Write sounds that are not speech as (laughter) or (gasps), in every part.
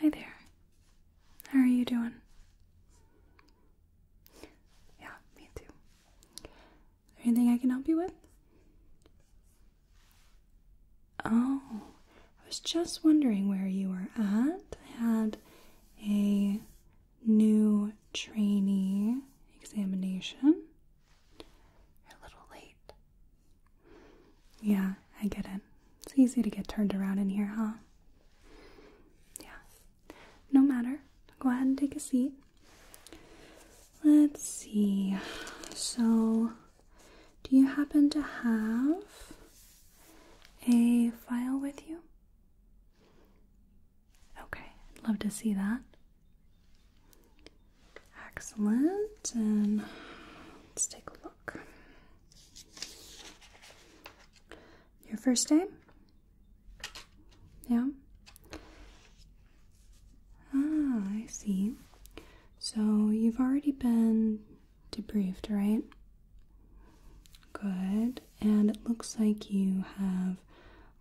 Hi there. How are you doing? Yeah, me too. Anything I can help you with? Oh, I was just wondering where you were at. I had a new trainee examination. a little late. Yeah, I get it. It's easy to get turned around in here, huh? Yeah. No matter. Go ahead and take a seat. Let's see. So, do you happen to have a file with you? Okay, I'd love to see that. Excellent. And let's take a look. Your first name? Yeah. Ah, I see. So you've already been debriefed, right? Good. And it looks like you have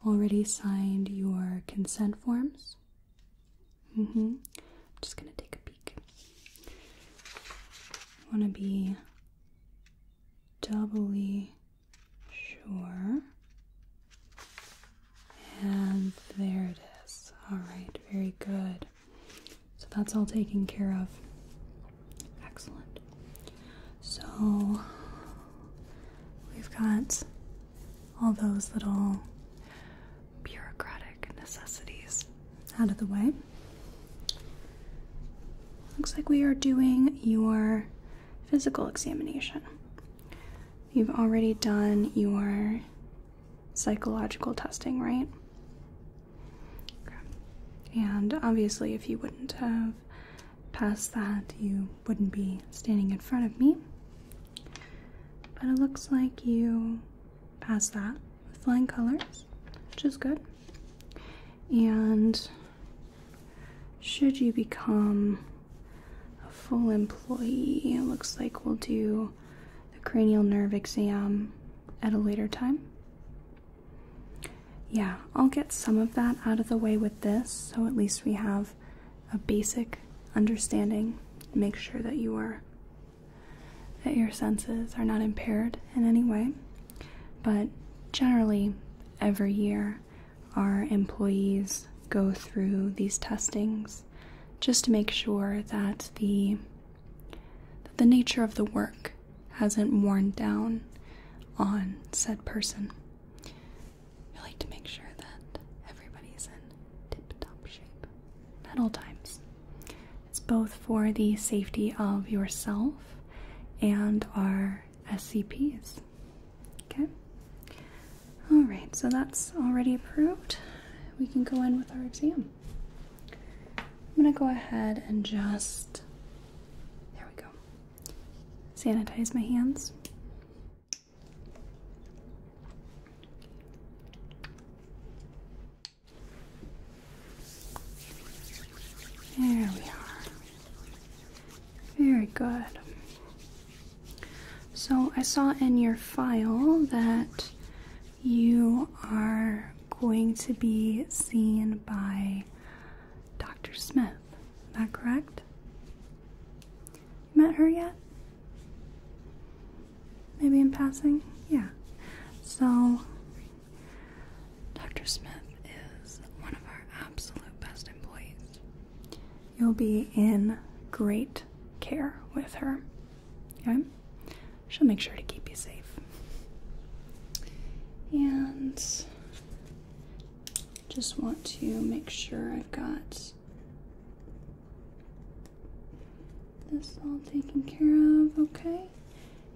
already signed your consent forms? I'm mm-hmm. just gonna take a peek. I wanna be doubly sure. And there it is. Alright, very good. So that's all taken care of. Excellent. So we've got all those little bureaucratic necessities out of the way. Looks like we are doing your physical examination. You've already done your psychological testing, right? And obviously, if you wouldn't have passed that, you wouldn't be standing in front of me. But it looks like you passed that with flying colors, which is good. And should you become a full employee, it looks like we'll do the cranial nerve exam at a later time. Yeah, I'll get some of that out of the way with this, so at least we have a basic understanding, make sure that you are that your senses are not impaired in any way. But generally, every year, our employees go through these testings just to make sure that the that the nature of the work hasn't worn down on said person. We like to make sure that everybody's in tip top shape at all times. It's both for the safety of yourself and our SCPs. Okay? Alright, so that's already approved. We can go in with our exam. I'm going to go ahead and just. There we go. Sanitize my hands. There we are. Very good. So I saw in your file that you are going to be seen by Dr. Smith. Is that correct? Met her yet? Maybe in passing? Yeah. So, Dr. Smith is one of our absolute best employees. You'll be in great care with her. Okay? She'll make sure to keep you safe. And just want to make sure I've got this all taken care of, okay?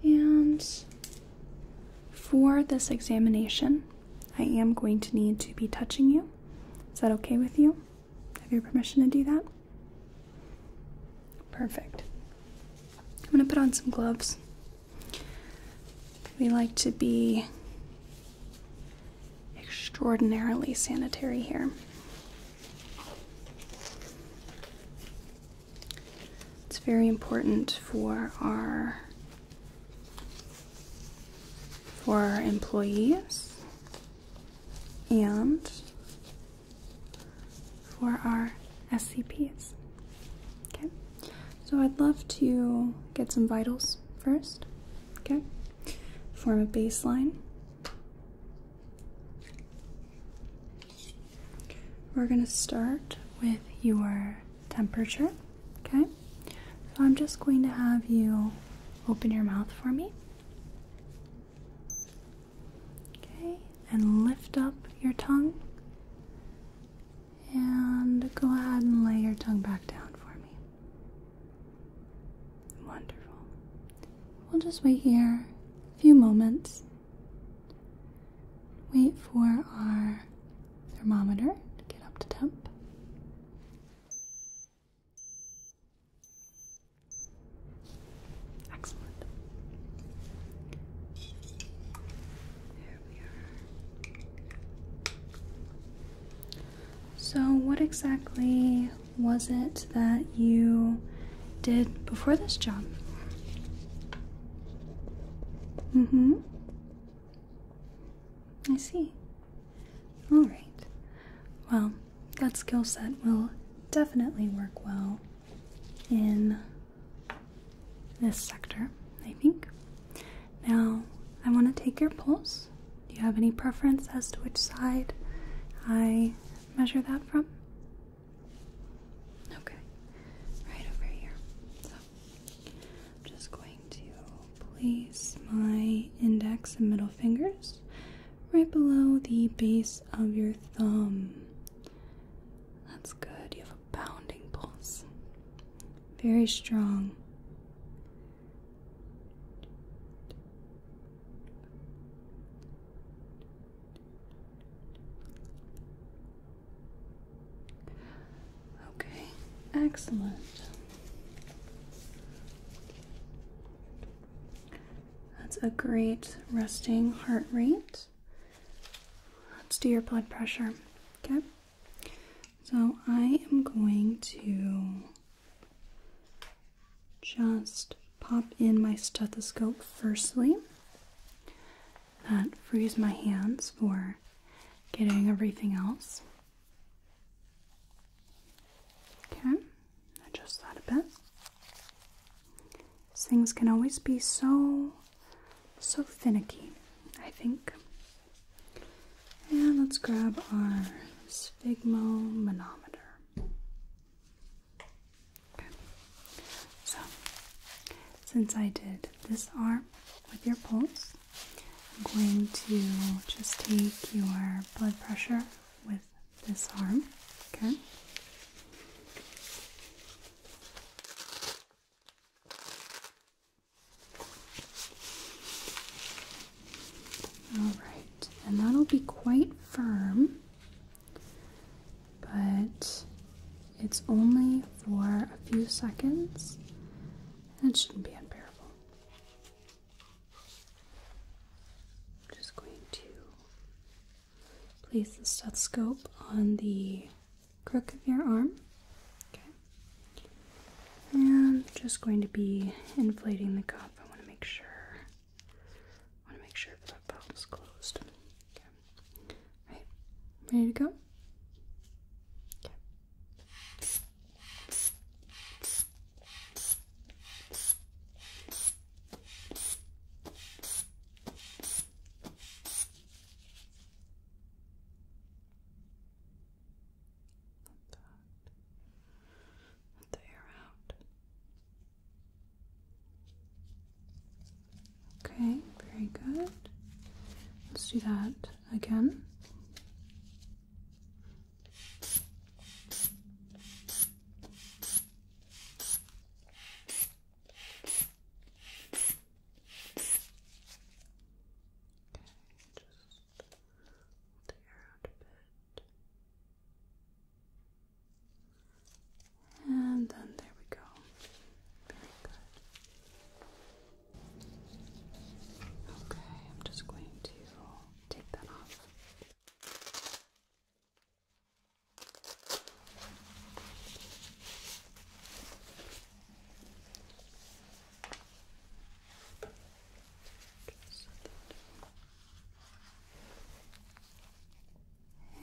And for this examination, I am going to need to be touching you. Is that okay with you? Have your permission to do that? Perfect. I'm going to put on some gloves. We like to be extraordinarily sanitary here. It's very important for our for our employees and for our SCPs. Okay, so I'd love to get some vitals first. Okay, form a baseline. We're going to start with your temperature. Okay, so I'm just going to have you open your mouth for me. Okay, and lift up your tongue. And go ahead and lay your tongue back down for me. Wonderful. We'll just wait here a few moments. Wait for our thermometer to get up to temp. Excellent. There we are. So, what exactly was it that you did before this job? Mm hmm. I see. Alright. Well, that skill set will definitely work well in this sector, I think. Now, I want to take your pulse. Do you have any preference as to which side I measure that from? Okay, right over here. So, I'm just going to place my index and middle fingers right below the base of your thumb. That's good. You have a bounding pulse. Very strong. Okay, excellent. That's a great resting heart rate. Let's do your blood pressure. Okay, so I am going to just pop in my stethoscope firstly. That frees my hands for getting everything else. Okay, adjust that a bit. things can always be so, so finicky, I think. And let's grab our sphygmomanometer. Okay. So, since I did this arm with your pulse, I'm going to just take your blood pressure with this arm. Okay. All right, and that'll be quite firm, but it's only for a few seconds and it shouldn't be unbearable. I'm just going to place the stethoscope on the crook of your arm. And just going to be inflating the cup. I want to make sure. I want to make sure that valve's closed. Okay. Right. Ready to go? Let the air out. Okay, very good. Let's do that again. Okay, just and then there we go. Okay, I'm just going to take that off.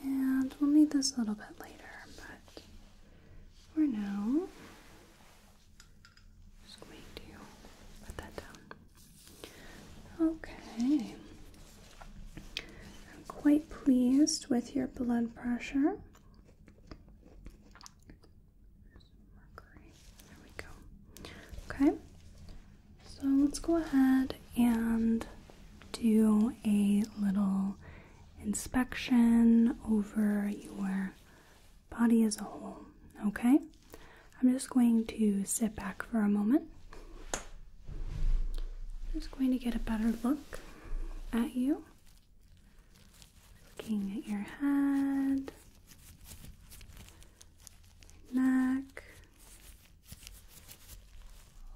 And we'll need this a little bit later, but for now, just going to put that down. Okay. I'm quite pleased with your blood pressure. Okay. So let's go ahead and do a little inspection over your body as a whole. Okay? I'm just going to sit back for a moment. I'm just going to get a better look at you. Looking at your head, neck,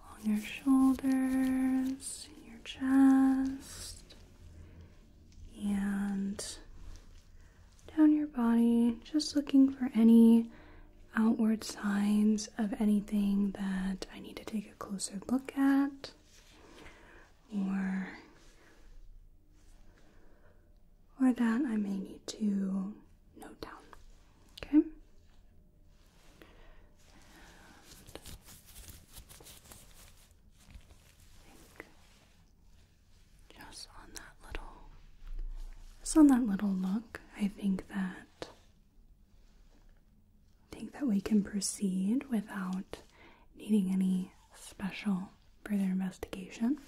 along your shoulders, your chest, and down your body, just looking for any outward signs of anything that I need to take a closer look at or or that I may need to note down. Okay? And just on that little just on that little look, I think that I think that we can proceed without needing any special further investigation.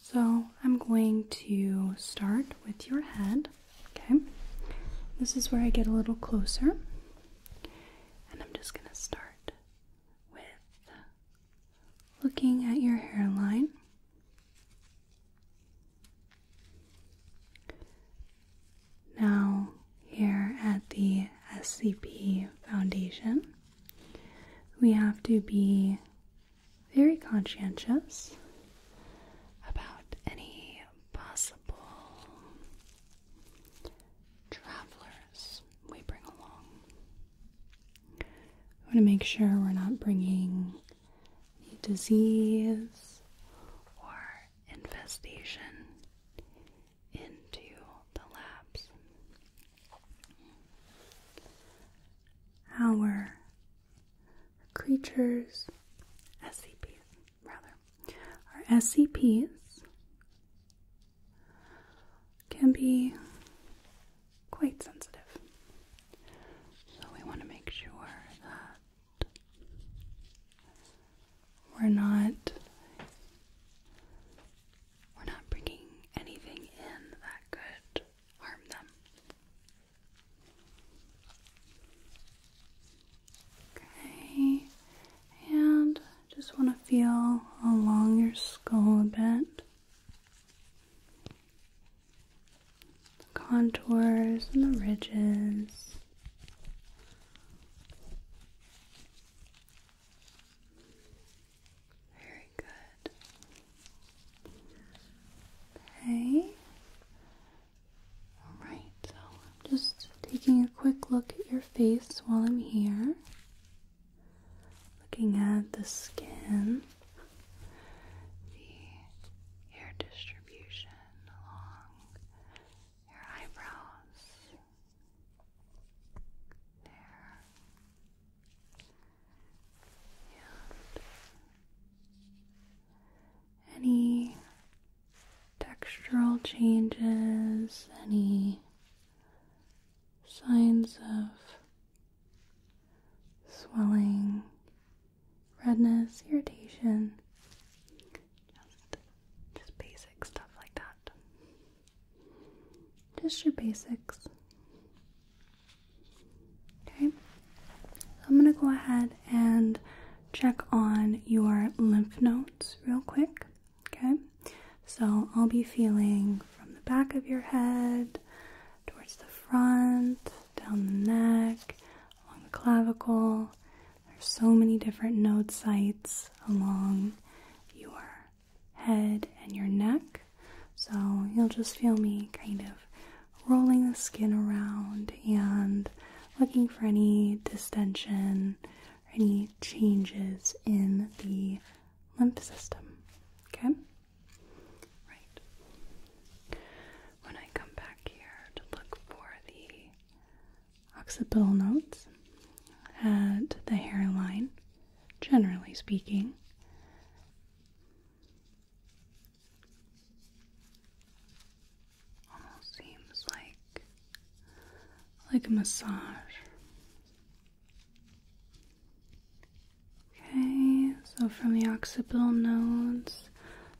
So I'm going to start with your head. Okay, this is where I get a little closer, and I'm just going to start with looking at your hairline. Now, here at the SCP Foundation, we have to be very conscientious about any possible travelers we bring along. We want to make sure we're not bringing any disease or infestation into the labs our creatures, SCPs rather, our SCPs can be quite sensitive. So we want to make sure that we're not we're not bringing anything in that could harm them. Okay, and just want to feel along your skull a bit. The contours and the ridges. Very good. Okay. Alright, so just taking a quick look at your face while I'm here. Looking at the skin, the hair distribution along your eyebrows. There any textural changes, any signs of swelling, redness, irritation. Just, just basic stuff like that just your basics. Okay, so I'm gonna go ahead and check on your lymph nodes real quick. Okay, so I'll be feeling from the back of your head towards the front, down the neck, along the clavicle. There's so many different node sites along your head and your neck. So you'll just feel me kind of rolling the skin around and looking for any distension or any changes in the lymph system. Okay? Right. When I come back here to look for the occipital notes and the hairline, generally speaking, Almost seems like like a massage. Okay, so from the occipital nodes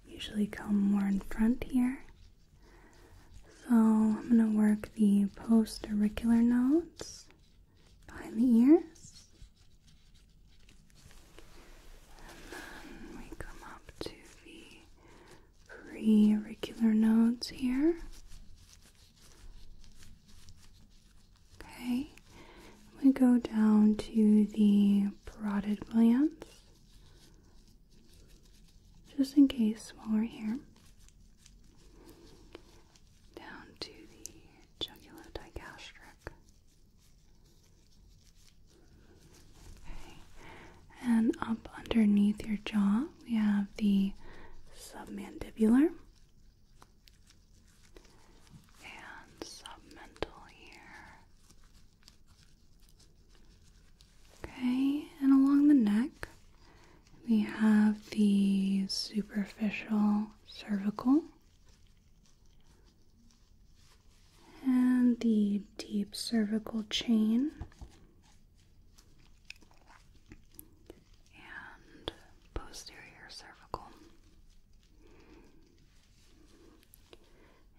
usually come more in front here. So I'm going to work the post auricular nodes behind the ears. And then we come up to the pre nodes here. Okay, we go down to the parotid glands, just in case while we're here down to the jugulodygastric. Okay, and up underneath your jaw, we have the submandibular and submental here. Okay, and along the neck, we have the superficial cervical and the deep cervical chain and posterior cervical.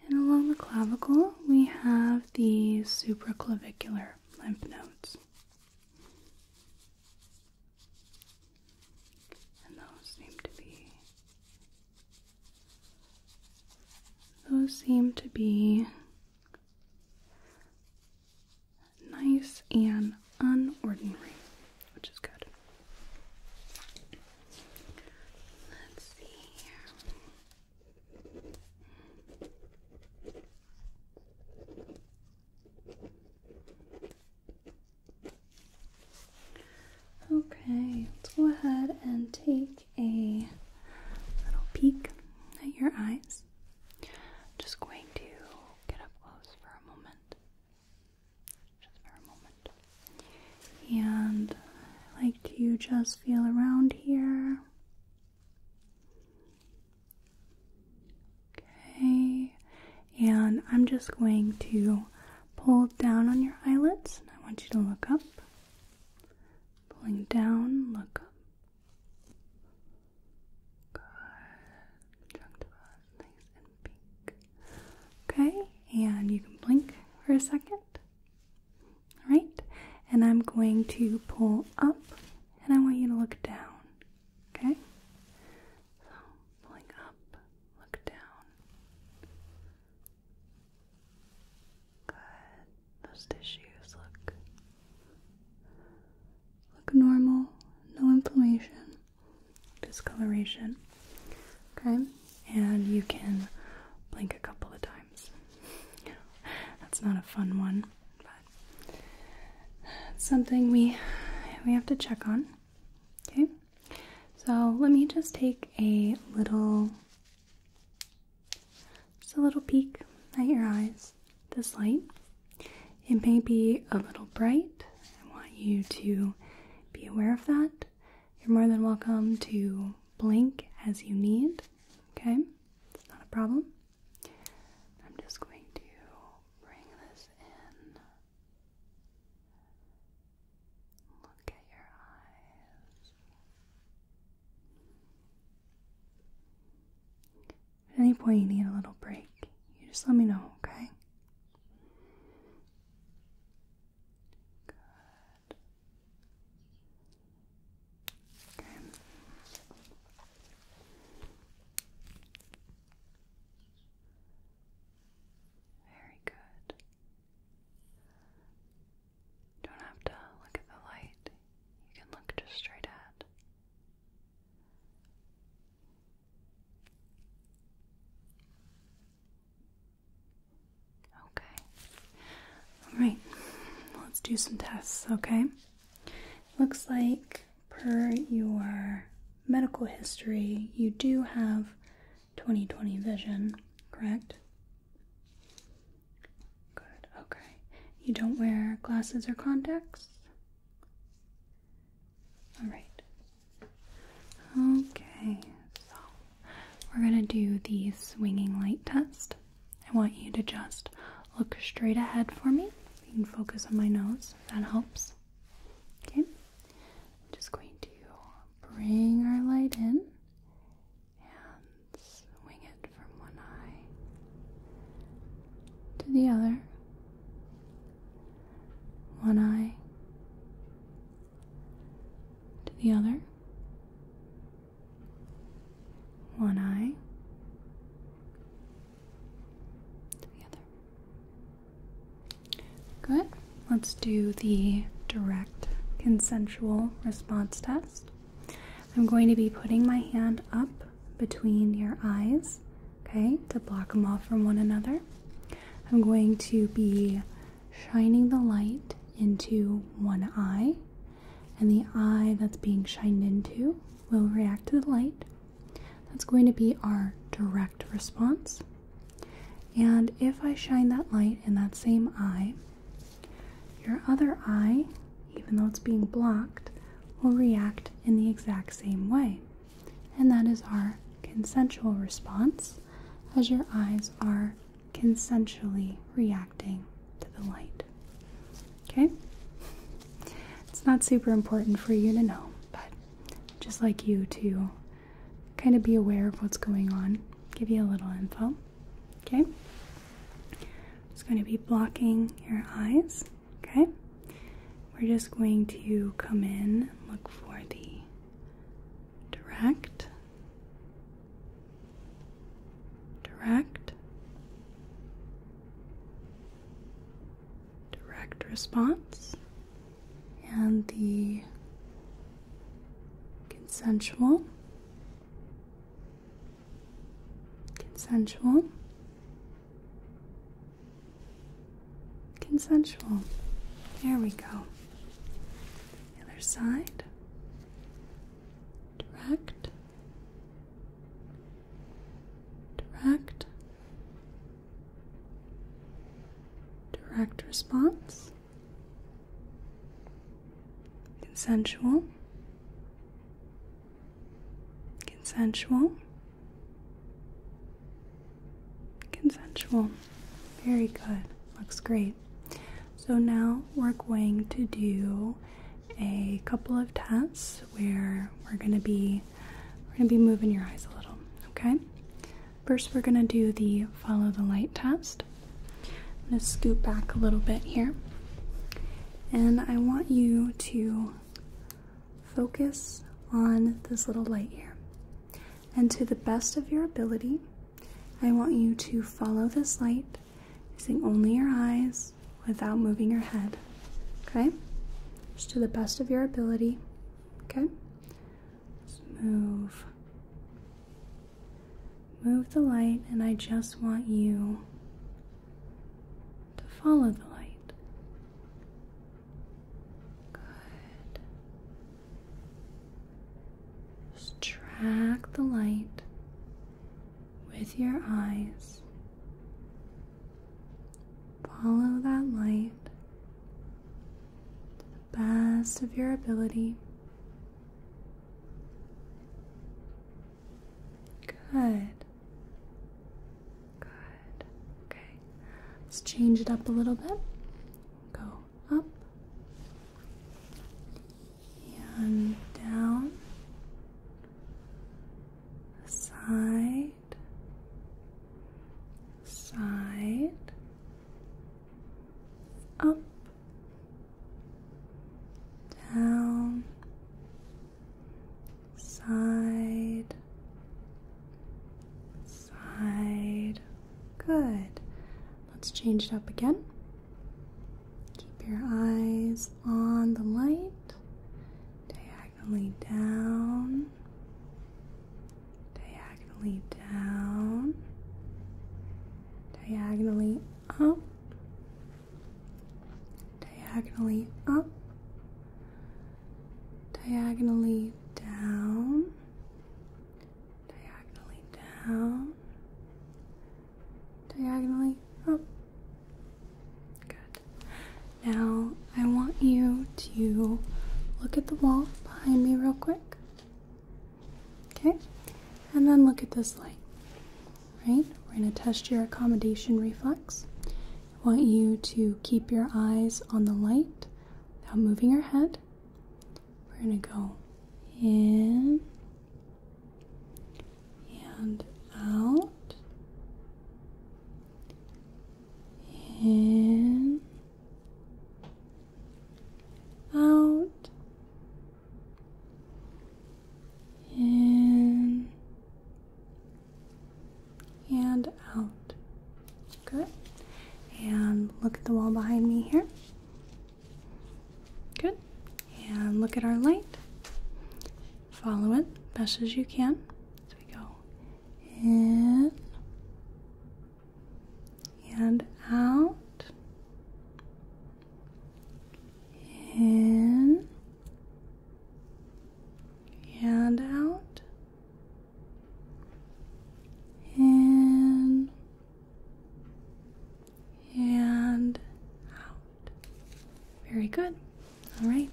And along the clavicle, we have the supraclavicular lymph nodes. And those seem to be those seem to be nice and unordinary, which is good. Let's see here. Okay, let's go ahead and take a little peek at your eyes. just going to get up close for a moment. Just for a moment. And I like to just feel around here. Okay, and I'm just going to pull down on your eyelids. I want you to look up. Pulling down, look up. Good. Nice and pink. Okay, and you can blink for a second. Alright, and I'm going to pull up and I want you to look down. Okay? So, pulling up, Look down. Good. Those tissues look look normal. No inflammation, discoloration. Okay, and you can blink a couple of times. (laughs) That's not a fun one, but something we we have to check on. Okay. So let me just take a little, just a little peek at your eyes. This light, it may be a little bright. I want you to be aware of that. You're more than welcome to blink as you need. Okay, it's not a problem. I'm just going to bring this in. Look at your eyes. At any point you need a little break, you just let me know, okay? Good. Okay. Very good. Don't have to look at the light. You can look just straight at. Okay. All right. Let's do some tests, okay? Looks like per your medical history, you do have 20/20 vision, correct? Good, okay. You don't wear glasses or contacts? Alright. Okay, so we're going to do the swinging light test. I want you to just look straight ahead for me. You can focus on my nose, that helps. Okay, I'm just going to bring our light in and swing it from one eye to the other. One eye to the other. One eye to the other. Good. Let's do the direct consensual response test. I'm going to be putting my hand up between your eyes, okay, to block them off from one another. I'm going to be shining the light into one eye, and the eye that's being shined into will react to the light. That's going to be our direct response. And if I shine that light in that same eye, your other eye, even though it's being blocked, will react in the exact same way. And that is our consensual response, as your eyes are consensually reacting to the light. Okay? It's not super important for you to know, but just like you too kind of be aware of what's going on, give you a little info. Okay? Just going to be blocking your eyes. Okay? We're just going to come in, look for the direct, direct, direct response and the consensual, consensual, consensual. There we go. other side, direct, direct direct response, consensual, consensual, consensual. Very good, looks great. So now we're going to do a couple of tests where we're going to be we're going to be moving your eyes a little, okay? First, we're going to do the follow the light test. I'm going to scoot back a little bit here. And I want you to focus on this little light here. And to the best of your ability, I want you to follow this light using only your eyes without moving your head. Okay? Just to the best of your ability. Okay? Let's move. Move the light, and I just want you to follow the light. Good. track the light with your eyes. Follow that light best of your ability. Good. Good. Okay. Let's change it up a little bit. Go up and down, side, side up, down, side, side. Good. Let's change it up again. Keep your eyes on the light, diagonally down, diagonally down, diagonally up, diagonally up, diagonally down, diagonally down, diagonally up. Good. Now I want you to look at the wall behind me real quick. Okay, and then look at this light. Right, we're going to test your accommodation reflex. I want you to keep your eyes on the light without moving your head. We're going to go in and out, in out in and out. Good. And look at the wall behind me here. Good. And look at our light. Follow it best as you can. So we go in and out. In and out, in and out. Very good. All right.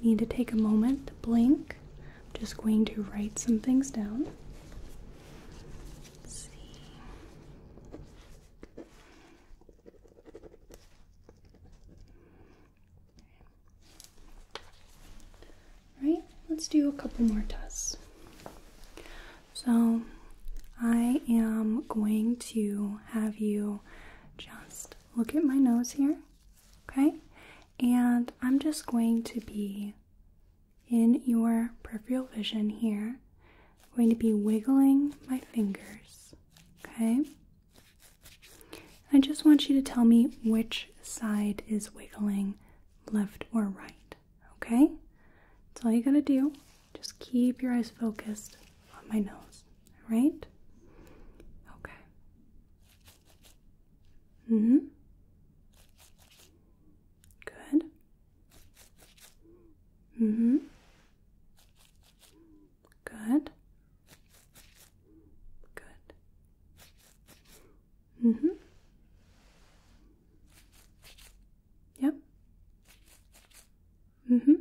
need to take a moment to blink I'm just going to write some things down. Let's Right, let's do a couple more tests. So, I am going to have you just look at my nose here, okay? And I'm just going to be in your peripheral vision here. I'm going to be wiggling my fingers, okay? I just want you to tell me which side is wiggling left or right, okay? That's all you gotta do. Just keep your eyes focused on my nose, Right? Okay. hmm. Good. Mm-hmm. Good. Good. Mm-hmm. Yep. Mm-hmm.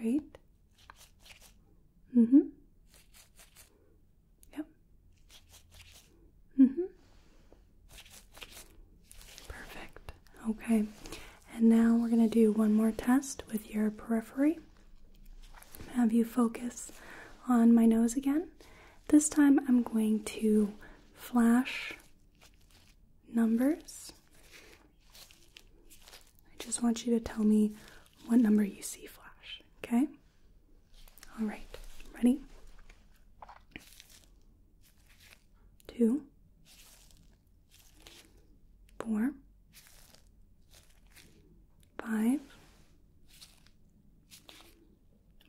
Great. Mm-hmm. Yep. Mhm. Perfect. Okay. And now we're going to do one more test with your periphery. Have you focus on my nose again? This time I'm going to flash numbers. I just want you to tell me what number you see flash, okay? All right, ready? Two, four, five,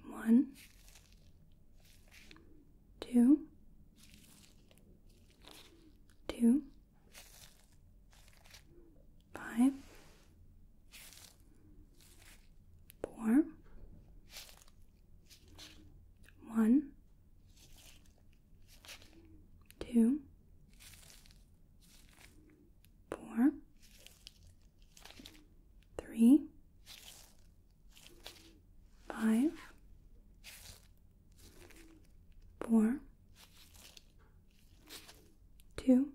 one, two, two, five, four, one, two, four, three, five, four, two.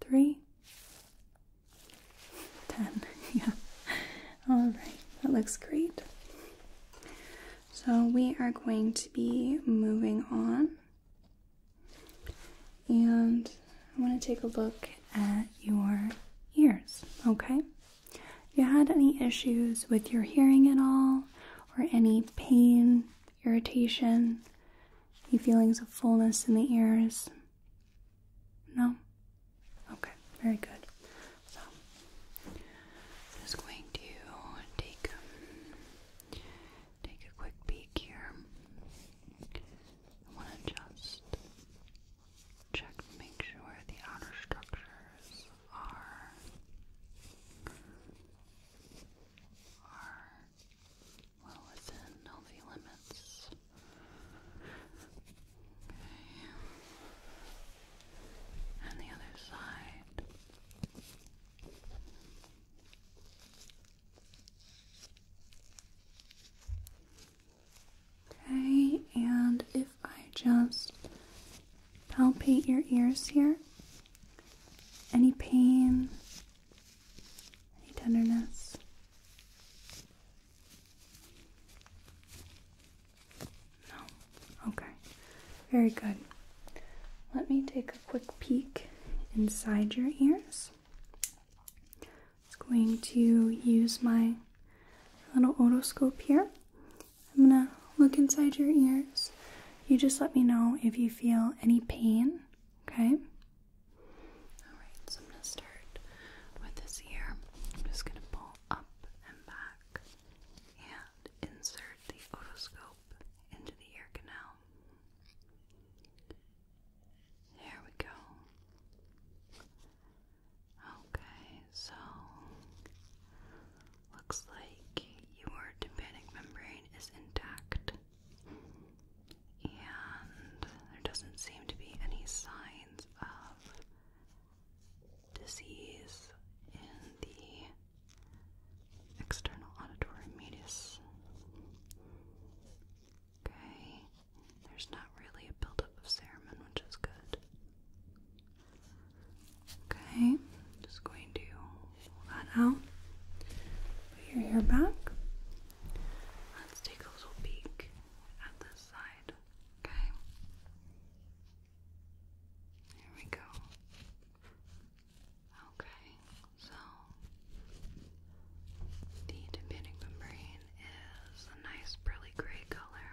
Three, ten, (laughs) yeah. Alright, that looks great. So we are going to be moving on. And I want to take a look at your ears, okay? you had any issues with your hearing at all or any pain irritation, any feelings of fullness in the ears? No? Okay, very good. So, just going to take, take a quick peek here. I want to just check make sure the outer structures are. Are well within healthy limits. And the other side. Okay, and if I just palpate your ears here, any pain, any tenderness. No? Okay. Very good. Let me take a quick peek inside your ears. I'm going to use my little otoscope here. I'm gonna look inside your ears. You just let me know if you feel any pain, okay? Alright, so I'm going to start with this ear. I'm just going to pull up and back and insert the otoscope into the ear canal. There we go. Okay, so looks like your tympanic membrane is intact and there doesn't seem to be any signs of disease in the external auditory meatus. Okay, there's not really a buildup of cerumen, which is good. Okay, just going to pull that out. Put your hair back. Let's take a little peek at this side, okay? Here we go. Okay, so the tympanic membrane is a nice pearly gray color.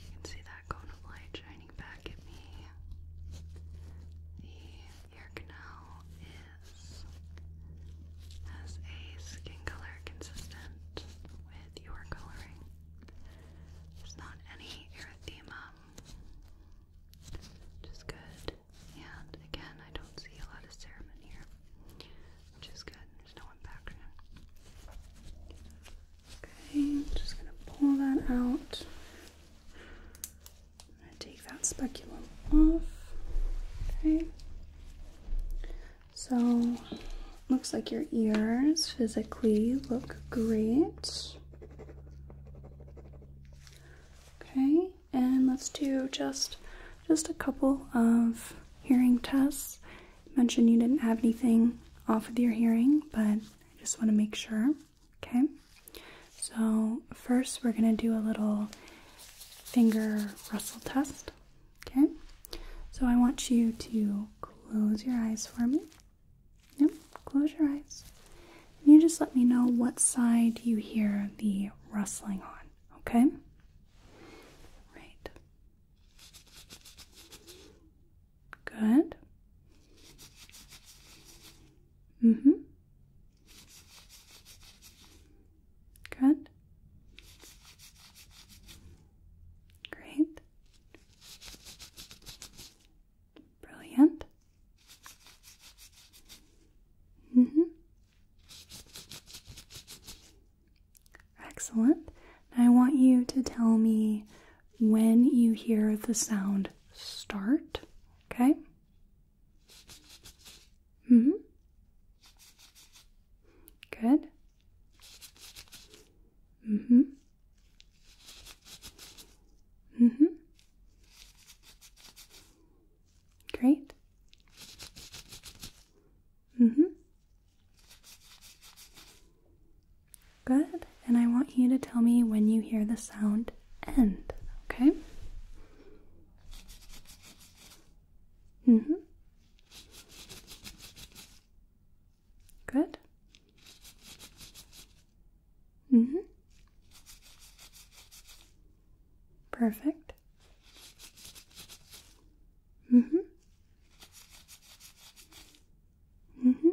You can see that cone of light shining back at me. The your canal is has a skin color consistent with your coloring. There's not any erythema. Just good. And again, I don't see a lot of serum in here. Which is good. There's no impaction. Okay, just gonna pull that out take that speculum off. Okay. So, looks like your ears physically look great. Okay, and let's do just just a couple of hearing tests. mentioned you didn't have anything off with your hearing, but I just want to make sure. Okay. So, first we're going to do a little finger rustle test. Okay? So, I want you to close your eyes for me. Yep, close your eyes. And you just let me know what side you hear the rustling on. Okay? Right. Good. Mm hmm. Good. Great. Brilliant. Mm -hmm. Excellent. I want you to tell me when you hear the sound start, okay? Mm hmm. Good. Mm hmm. Mm hmm. Great. Mm hmm. Good. And I want you to tell me when you hear the sound end, okay? Mm hmm. Good. Mm hmm. Perfect. Mm hmm. Mm hmm.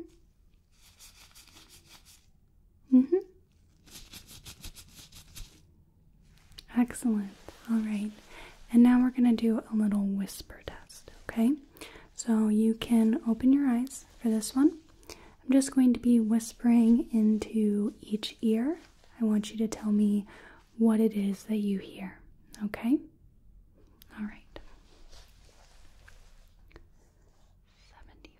Mm hmm. Excellent. All right. And now we're going to do a little whisper test, okay? So you can open your eyes for this one. I'm just going to be whispering into each ear. I want you to tell me what it is that you hear, okay? All right. 73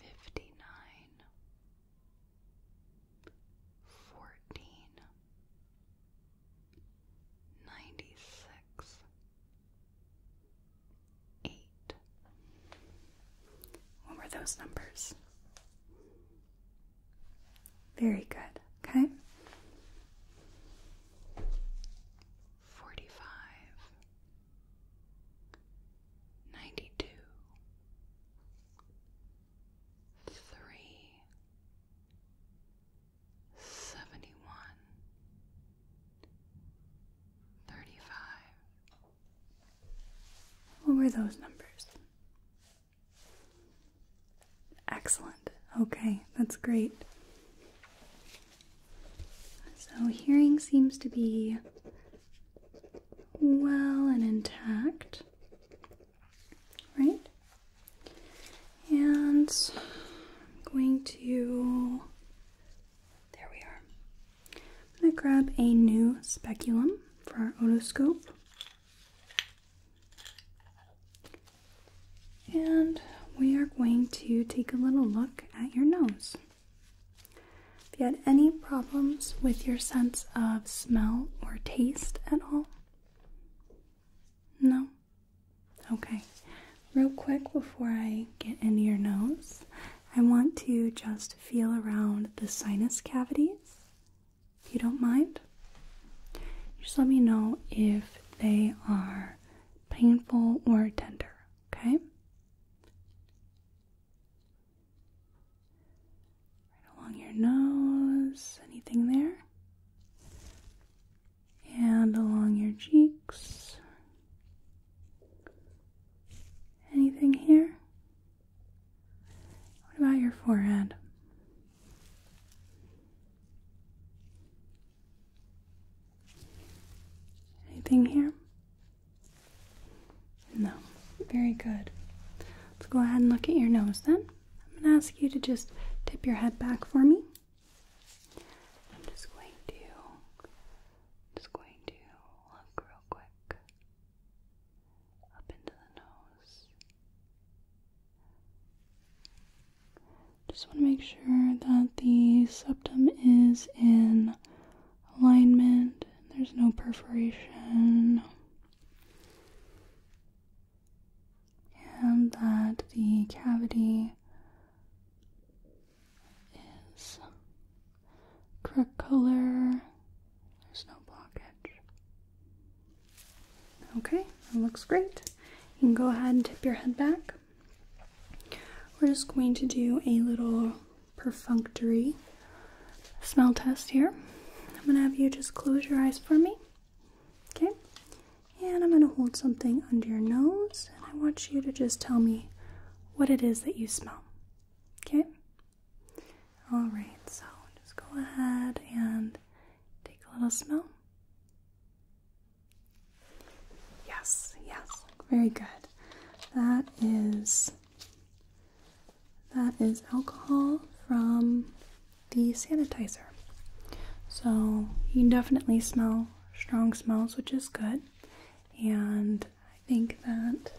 fifty nine, fourteen, ninety six, eight. What were those numbers? Very good, okay? Forty five ninety two, three, seventy one, thirty five. What were those numbers? Excellent. Okay, that's great. So, hearing seems to be well and intact, right? And I'm going to, there we are. I'm going to grab a new speculum for our otoscope. And we are going to take a little look at your nose. If you had any problems with your sense of smell or taste at all? No? Okay. Real quick before I get into your nose, I want to just feel around the sinus cavities, if you don't mind. Just let me know if they are painful or tender, okay? Right along your nose. Anything there? And along your cheeks. Anything here? What about your forehead? Anything here? No. Very good. Let's go ahead and look at your nose then. I'm going to ask you to just tip your head back for me. I'm just going to just going to look real quick up into the nose. Just want to make sure that the septum is in alignment, there's no perforation, and that the cavity is correct color. There's no blockage. Okay, that looks great. You can go ahead and tip your head back. We're just going to do a little perfunctory smell test here. I'm gonna have you just close your eyes for me. Okay? And I'm gonna hold something under your nose and I want you to just tell me what it is that you smell. Okay? Alright, so just go ahead and take a little smell. Yes, yes, very good. That is that is alcohol from the sanitizer. So you can definitely smell strong smells, which is good. And I think that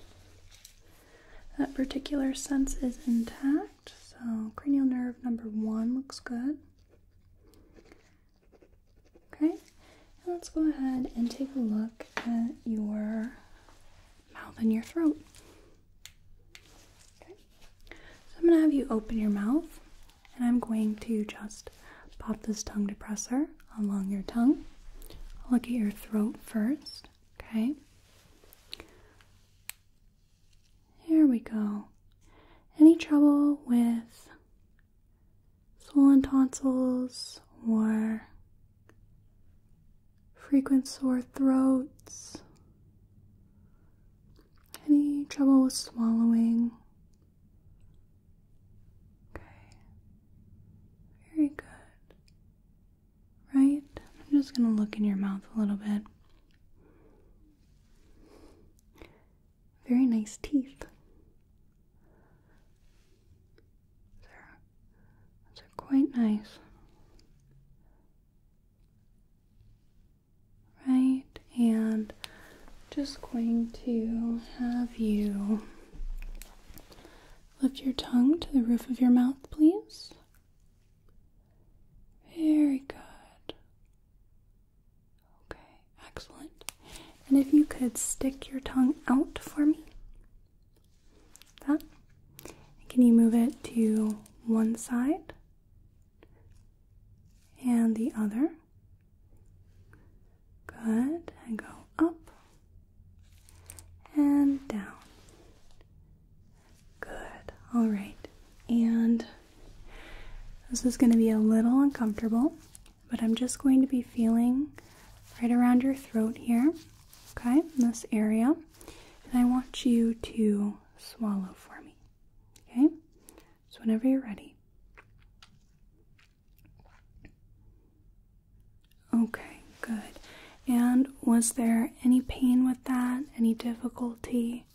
that particular sense is intact. So cranial nerve number one looks good. Okay, let's go ahead and take a look at your mouth and your throat. Okay. So I'm going to have you open your mouth and I'm going to just pop this tongue depressor along your tongue. I'll look at your throat first, okay? here we go. Any trouble with swollen tonsils or frequent sore throats, any trouble with swallowing. Okay, very good. Right? I'm just going to look in your mouth a little bit. Very nice teeth. They're, quite nice. Right, and just going to have you lift your tongue to the roof of your mouth, please. Very good. Okay, excellent. And if you could stick your tongue out for me. Can you move it to one side and the other? Good. And go up and down. Good. All right. And this is going to be a little uncomfortable, but I'm just going to be feeling right around your throat here. Okay, in this area. And I want you to swallow for me. Okay? So whenever you're ready. Okay, good. And was there any pain with that? Any difficulty?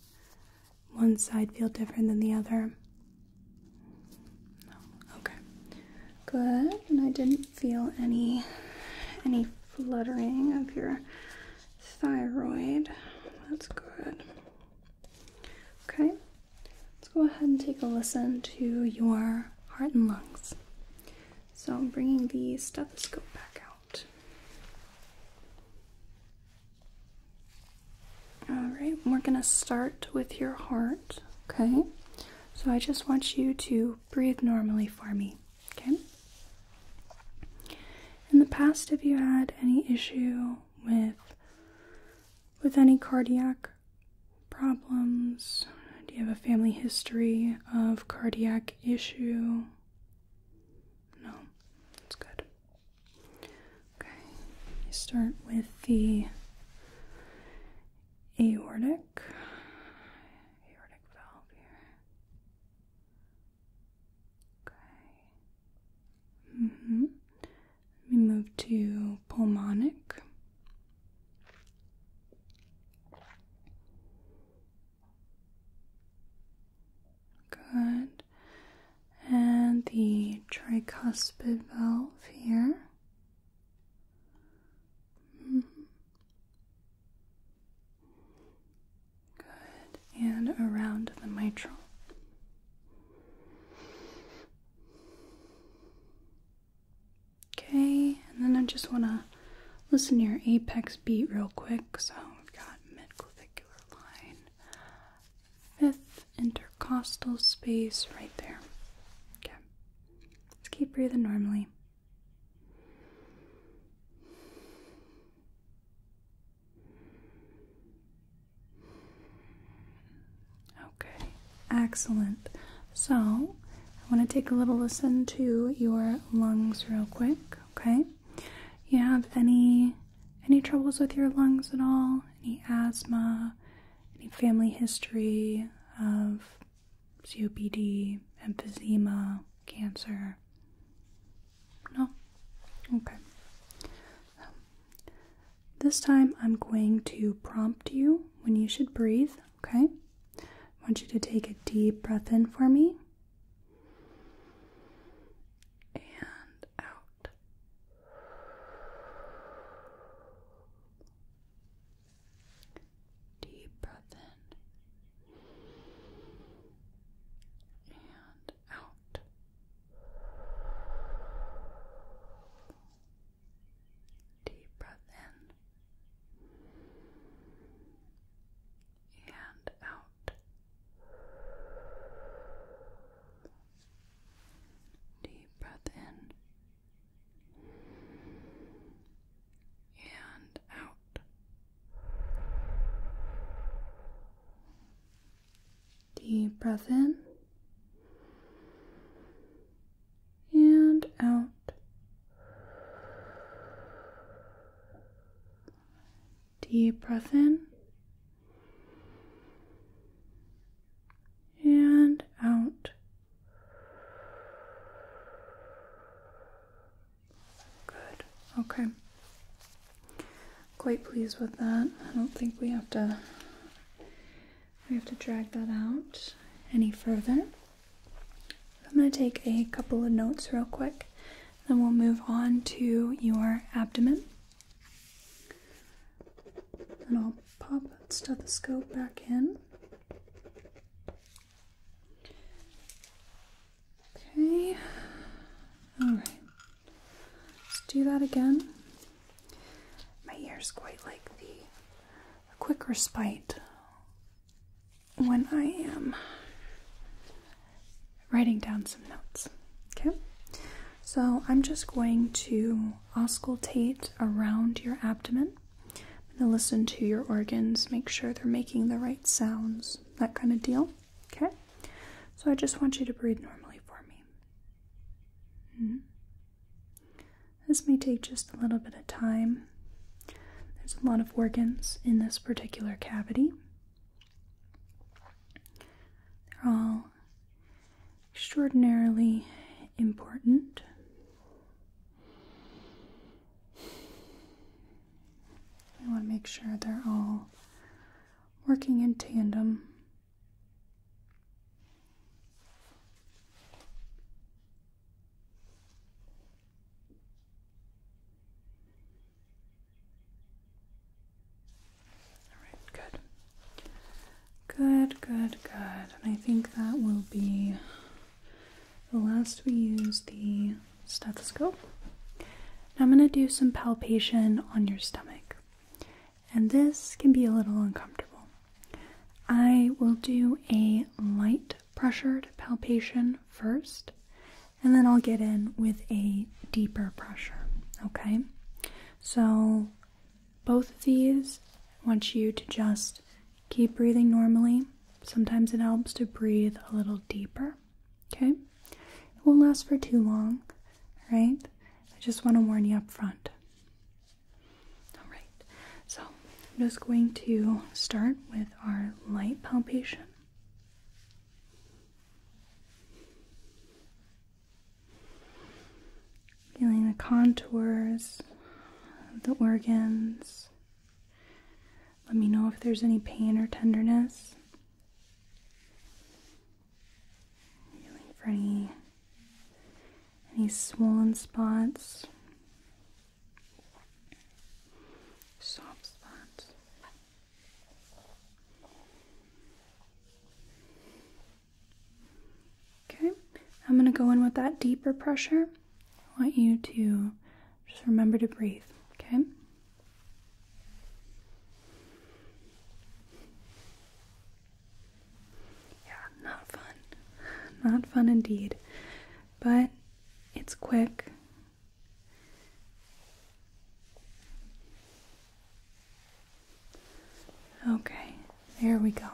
One side feel different than the other? No. Okay. Good. And I didn't feel any any fluttering of your thyroid. That's good. Okay. Let's go ahead and take a listen to your heart and lungs. So I'm bringing the stethoscope back out. Alright, we're going to start with your heart. Okay, so I just want you to breathe normally for me. Okay? In the past, have you had any issue with with any cardiac problems? Do you have a family history of cardiac issue? No. That's good. Okay. You start with the aortic aortic, mm-hmm. Let me move to pulmonic. Good. And the tricuspid valve here. Mm-hmm. Good. And around the mitral. Okay, and then I just want to listen to your apex beat real quick. So we've got midclavicular line, fifth intercostal space right there. Okay, let's keep breathing normally. Okay, excellent. So, I want to take a little listen to your lungs real quick, okay? You have any any troubles with your lungs at all? Any asthma? Any family history of COPD, emphysema, cancer? No? Okay. this time I'm going to prompt you when you should breathe, okay? I want you to take a deep breath in for me. And out. Deep breath in and out. Deep breath in and out. Deep breath in and out. Deep breath in and out. Deep breath in and out. Good. Okay. Quite pleased with that. I don't think we have to we have to drag that out any further. I'm going to take a couple of notes real quick, then we'll move on to your abdomen. And I'll pop the stethoscope back in. Okay. All right. Let's do that again. My ears quite like the quick respite when I am writing down some notes. Okay. So I'm just going to auscultate around your abdomen. I'm going to listen to your organs, make sure they're making the right sounds, that kind of deal. Okay? So I just want you to breathe normally for me. Mm-hmm. This may take just a little bit of time. There's a lot of organs in this particular cavity. They're all extraordinarily important. I want to make sure they're all working in tandem. All right, good. Good, good, good. And I think that will be the last we use the stethoscope. Now I'm going to do some palpation on your stomach. And this can be a little uncomfortable. I will do a light pressured palpation first, and then I'll get in with a deeper pressure. Okay? So, both of these want you to just Keep breathing normally. Sometimes it helps to breathe a little deeper. Okay? It won't last for too long, right? I just want to warn you up front. Alright, so I'm just going to start with our light palpation. Feeling the contours of the organs let me know if there's any pain or tenderness. Feeling for any any swollen spots. Soft spots. Okay, I'm going to go in with that deeper pressure. I want you to just remember to breathe, okay? Yeah, not fun. Not fun indeed. But it's quick. Okay, there we go.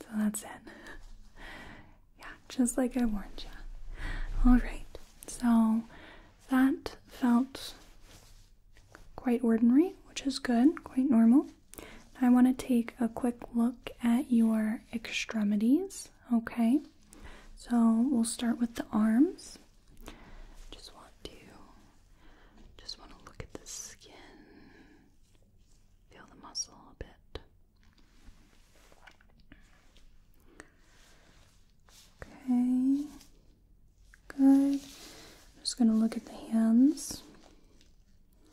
So that's it. Yeah, just like I warned you. Alright, so that felt quite ordinary, which is good, quite normal. I want to take a quick look at your extremities, okay? So we'll start with the arms. Just want to just want to look at the skin. Feel the muscle a bit. Okay. Good. I'm just going to look at the hands. I'm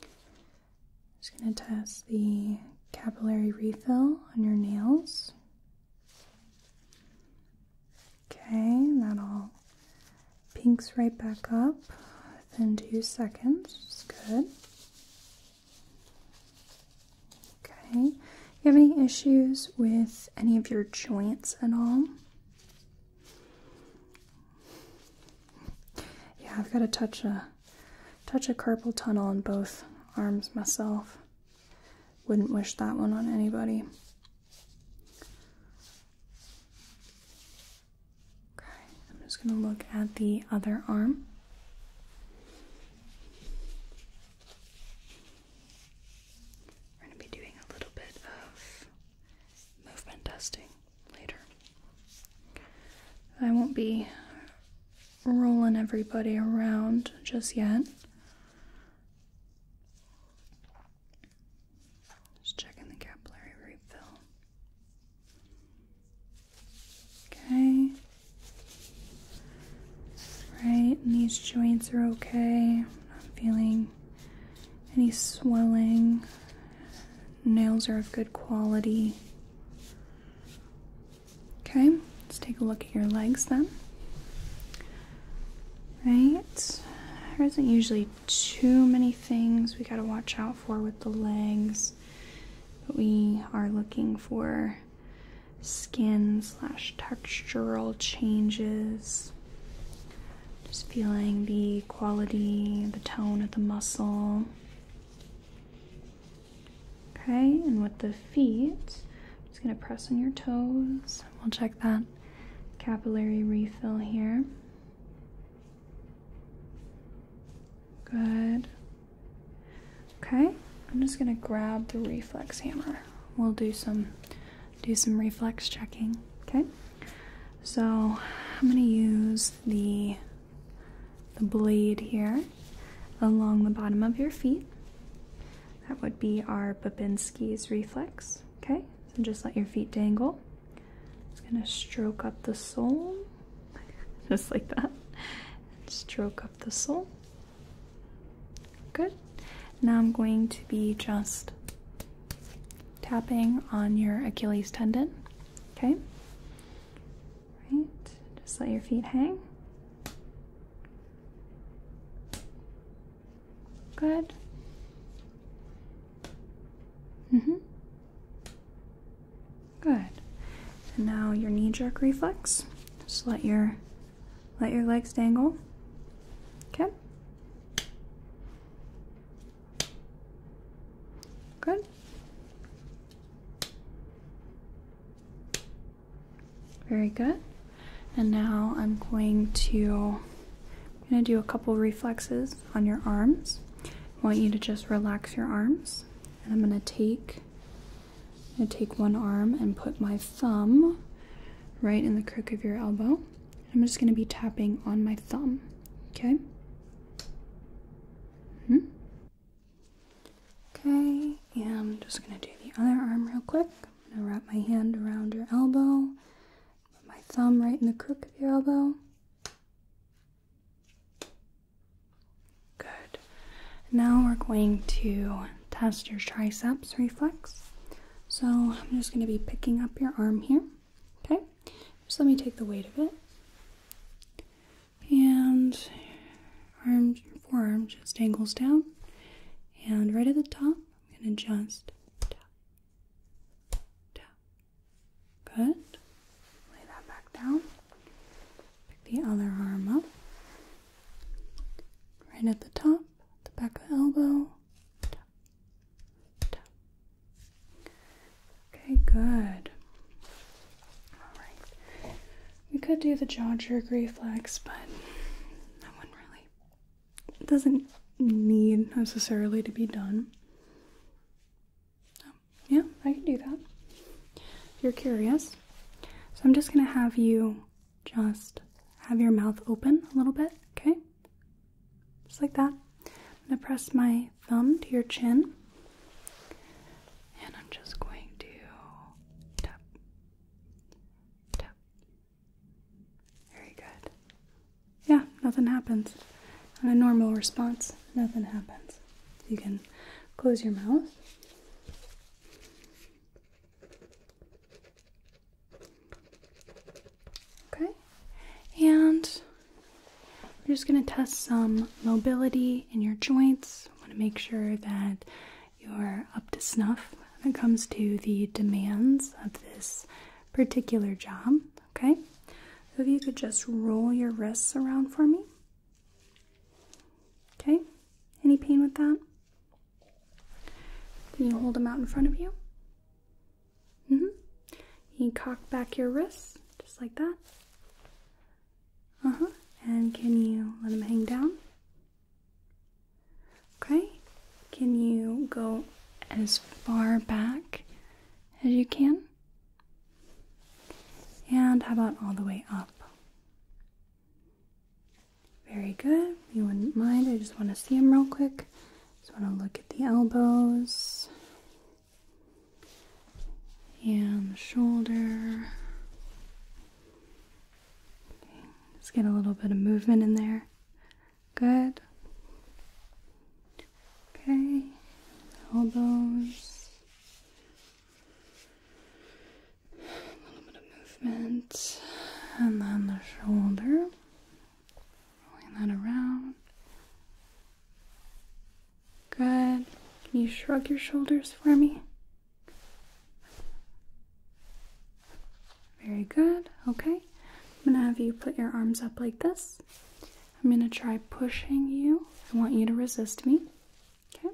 just going to test the capillary refill on your nails. Okay, that all pinks right back up within two seconds. It's good. Okay. You have any issues with any of your joints at all? Yeah, I've got to touch a touch a carpal tunnel in both arms myself. Wouldn't wish that one on anybody. Okay, I'm just going to look at the other arm. We're going to be doing a little bit of movement testing later. I won't be rolling everybody around just yet. Just checking the capillary refill. Okay. Right, these joints are okay. I'm not feeling any swelling. Nails are of good quality. Okay, let's take a look at your legs then. Right, there isn't usually too many things we gotta watch out for with the legs, but we are looking for skin slash textural changes. Just feeling the quality, the tone of the muscle. Okay, and with the feet, just gonna press on your toes. We'll check that capillary refill here. Good. Okay, I'm just gonna grab the reflex hammer. We'll do some do some reflex checking. Okay, so I'm gonna use the the blade here along the bottom of your feet. That would be our Babinski's reflex. Okay, so just let your feet dangle. It's gonna stroke up the sole, (laughs) just like that. And stroke up the sole. Good. Now I'm going to be just tapping on your Achilles tendon. Okay. Right. Just let your feet hang. Good. hmm Good. And now your knee jerk reflex. Just let your let your legs dangle. Okay. Good. Very good. And now I'm going to I'm going to do a couple reflexes on your arms. I want you to just relax your arms. And I'm going to take I'm going to take one arm and put my thumb right in the crook of your elbow. I'm just going to be tapping on my thumb, okay? -hmm. Okay, and I'm just going to do the other arm real quick. I'm going to wrap my hand around your elbow, put my thumb right in the crook of your elbow. Good. Now we're going to test your triceps reflex. So I'm just going to be picking up your arm here. Okay. Just let me take the weight of it. And arm, your forearm just angles down. And right at the top, I'm going to just tap, tap. Good. Lay that back down. Pick the other arm up right at the top, the back of the elbow. Okay, good. Alright. We could do the jaw jerk reflex, but that one really it doesn't need necessarily to be done. Oh, yeah, I can do that. If you're curious, so I'm just going to have you just have your mouth open a little bit, okay? Just like that. I'm going to press my thumb to your chin. And I'm just going to tap. Tap. Very good. Yeah, nothing happens. a normal response, nothing happens. You can close your mouth. Okay, and we're just going to test some mobility in your joints. want to make sure that you're up to snuff when it comes to the demands of this particular job. Okay, so if you could just roll your wrists around for me. Okay, any pain with that? Can you hold them out in front of you. Mm hmm. You cock back your wrists, just like that. Uh huh. And can you let them hang down? Okay. Can you go as far back as you can? And how about all the way up? Very good. You wouldn't mind. I just want to see him real quick. Just want to look at the elbows and the shoulder. Let's get a little bit of movement in there. Good. Okay. Elbows. A little bit of movement, and then the shoulder, rolling that around. Good. Can you shrug your shoulders for me? Very good. Okay. I'm going to have you put your arms up like this. I'm going to try pushing you. I want you to resist me. Okay?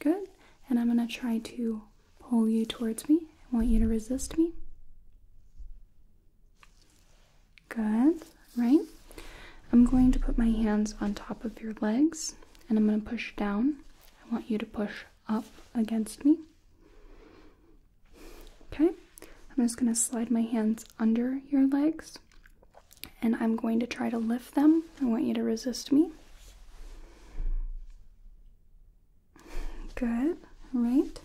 Good. And I'm going to try to pull you towards me. I want you to resist me. Good. Right? I'm going to put my hands on top of your legs and I'm going to push down. I want you to push up against me. Okay. I'm just going to slide my hands under your legs and I'm going to try to lift them. I want you to resist me. Good, right?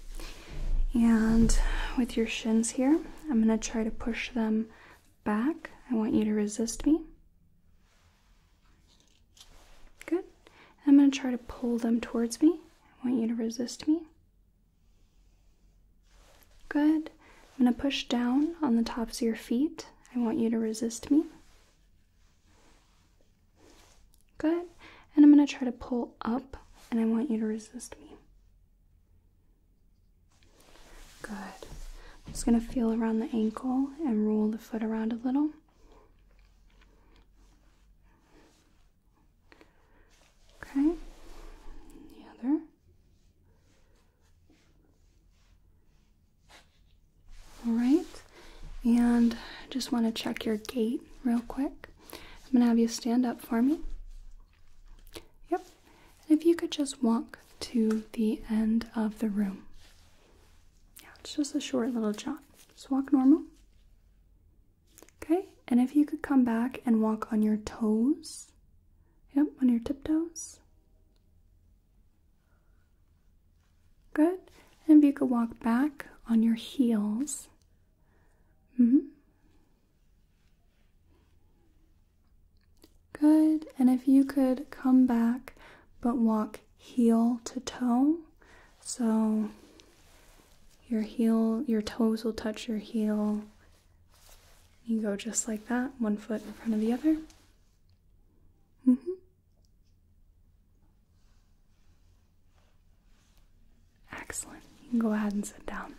And with your shins here, I'm going to try to push them back. I want you to resist me. Good. I'm going to try to pull them towards me. I want you to resist me. Good. I'm going to push down on the tops of your feet. I want you to resist me. Good. And I'm going to try to pull up, and I want you to resist me. Good. I'm just going to feel around the ankle and roll the foot around a little. Okay. The other. All right, and just want to check your gait real quick. I'm gonna have you stand up for me. Yep, and if you could just walk to the end of the room. Yeah, it's just a short little jog. Just walk normal. Okay, and if you could come back and walk on your toes. Yep, on your tiptoes. Good. And if you could walk back on your heels. hmm Good. And if you could come back but walk heel to toe. So your heel, your toes will touch your heel. You go just like that, one foot in front of the other. Mm-hmm. Excellent. go ahead and sit down.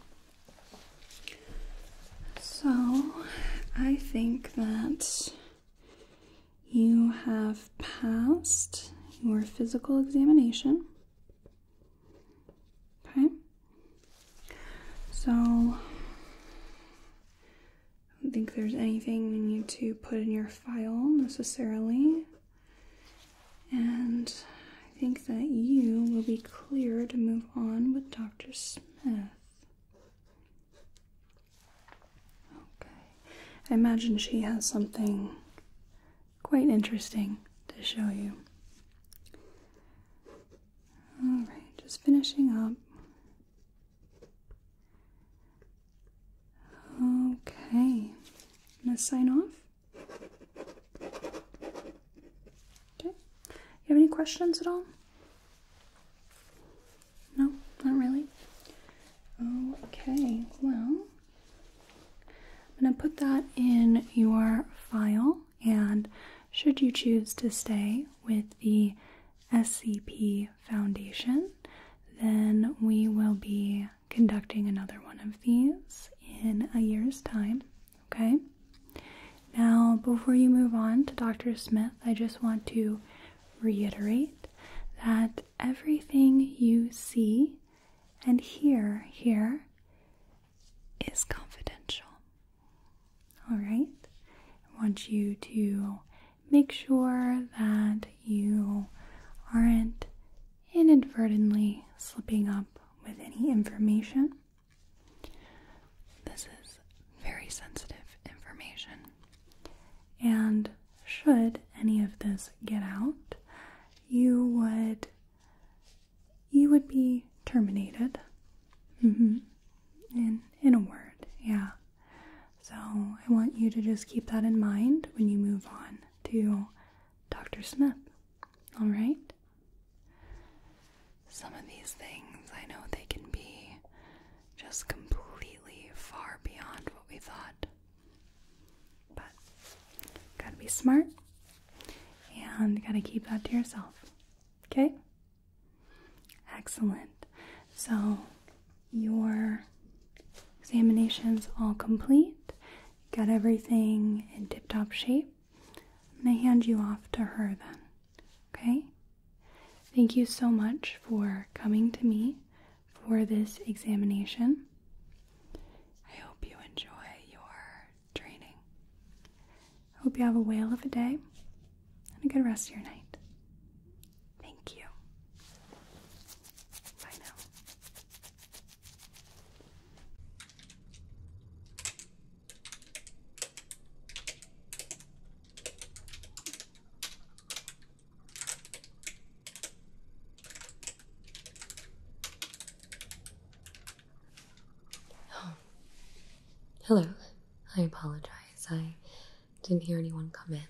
So, I think that you have passed your physical examination. Okay. So, I don't think there's anything you need to put in your file necessarily. And I think that you will be clear to move on with Dr. Smith. Okay. I imagine she has something quite interesting to show you. Alright, just finishing up Okay, i gonna sign off. Okay, you have any questions at all? No, not really. Okay, well, I'm gonna put that in your file, and should you choose to stay with the SCP foundation, then we will be conducting another one of these in a year's time. Okay? Now, before you move on to Dr. Smith, I just want to reiterate that everything you see and hear here is confidential. All right? I want you to make sure that you aren't inadvertently slipping up with any information. This is very sensitive information, and should any of this get out, you would you would be terminated. Mm-hmm in in a word, yeah. So I want you to just keep that in mind when you move on to Dr. Smith. All right? Some of these things, I know they can be just completely far beyond what we thought. But got to be smart and got to keep that to yourself. Okay? Excellent. So, your examination's all complete. Got everything in tip top shape. I'm going to hand you off to her then. Okay? Thank you so much for coming to me for this examination. I hope you enjoy your training. I hope you have a whale of a day and a good rest of your night. Thank you. Bye now. (gasps) Hello. I apologize. I didn't hear anyone come in.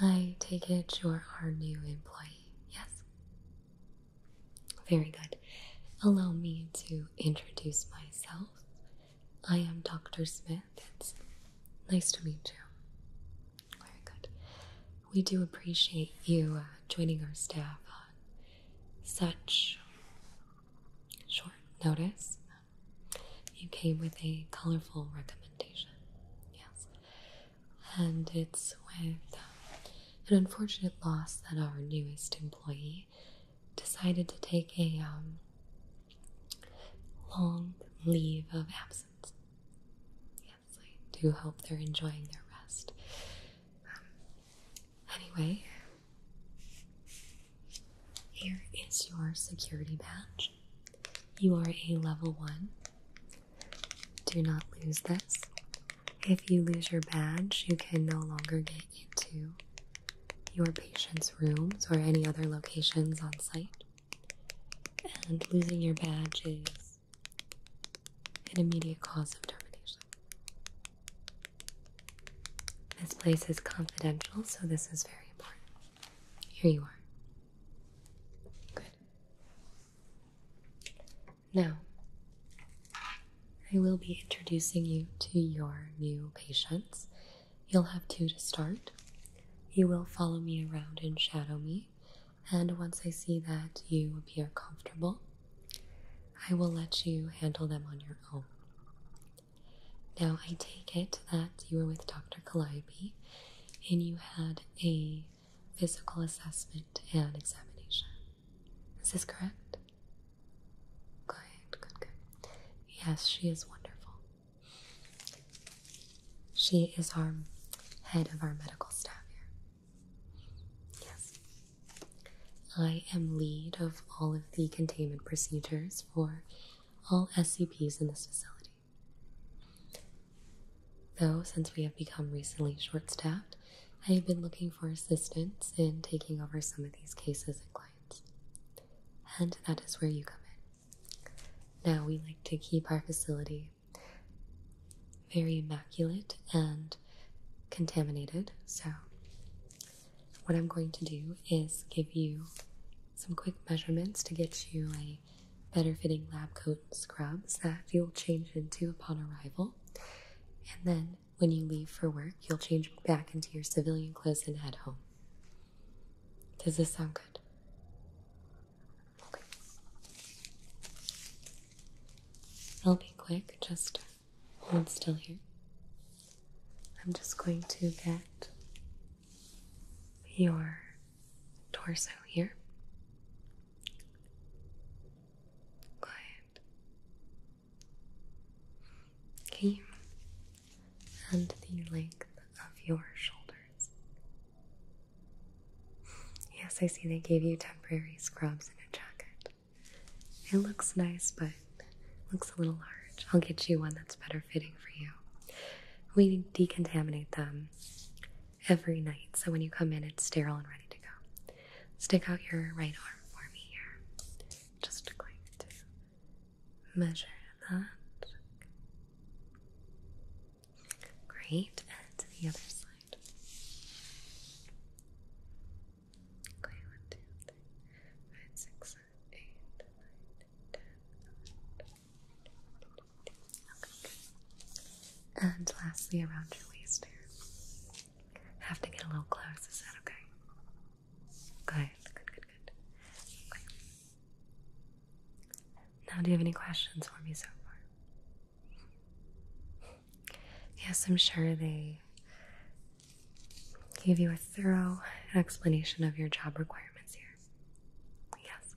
I take it you're our new employee, yes? Very good. Allow me to introduce myself. I am Dr. Smith. It's nice to meet you. Very good. We do appreciate you uh, joining our staff on such short notice you came with a colorful recommendation. Yes. And it's with uh, an unfortunate loss that our newest employee decided to take a um, long leave of absence. Yes, I do hope they're enjoying their rest. Um, anyway, here is your security badge. You are a level one. Do not lose this. If you lose your badge, you can no longer get into your patient's rooms or any other locations on site. And losing your badge is an immediate cause of termination. This place is confidential, so this is very important. Here you are. Good. Now, I will be introducing you to your new patients. You'll have two to start. You will follow me around and shadow me, and once I see that you appear comfortable, I will let you handle them on your own. Now, I take it that you were with Dr. Calliope and you had a physical assessment and examination. Is this correct? Good, good, good. Yes, she is wonderful. She is our head of our medical staff here. Yes. I am lead of all of the containment procedures for all SCPs in this facility. Though, since we have become recently short staffed, I have been looking for assistance in taking over some of these cases and clients. And that is where you come in. Now, we like to keep our facility very immaculate and contaminated, so what I'm going to do is give you some quick measurements to get you a better fitting lab coat and scrubs that you'll change into upon arrival. And then when you leave for work, you'll change back into your civilian clothes and head home. Does this sound good? Okay. I'll be quick, just hold still here. I'm just going to get your torso here. Quiet. Okay. And the length of your shoulders. Yes, I see they gave you temporary scrubs and a jacket. It looks nice, but looks a little large. I'll get you one that's better fitting for you. We decontaminate them every night, so when you come in, it's sterile and ready to go. Stick out your right arm for me here. Just going to measure that. Great, and to the other side. Okay, and lastly, around your waist here. Have to get a little close. Is that okay? Good, good, good, good. Now, do you have any questions for me so far? Yes, I'm sure they gave you a thorough explanation of your job requirements here. Yes.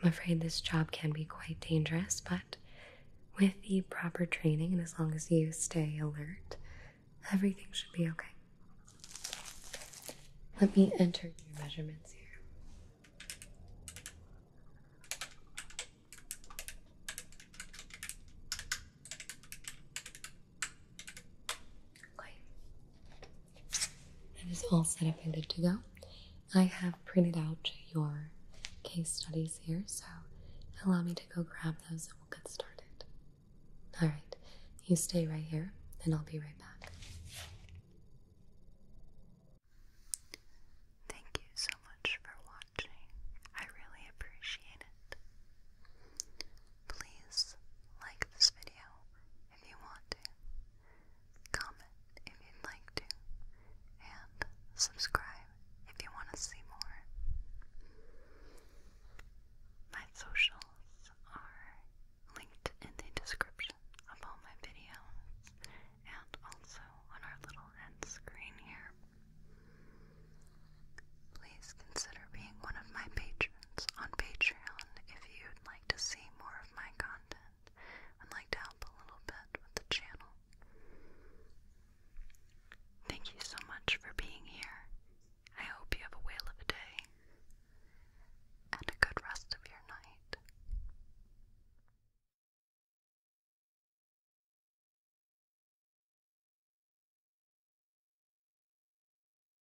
I'm afraid this job can be quite dangerous, but with the proper training and as long as you stay alert, everything should be okay. Let me enter your measurements here. Okay. That is all set up and good to go. I have printed out your case studies here, so allow me to go grab those and we'll get started. All right, you stay right here and I'll be right back. Thank you so much for watching. I really appreciate it. Please like this video, if you want to, comment if you'd like to, and subscribe if you want to see more. My socials are linked in the description of all my videos and also on our little end screen here. Please consider being one of my patrons on Patreon if you like to see more of my content and like to help a little bit with the channel. Thank you so much for being here. I hope you have a whale of a day and a good rest of your night.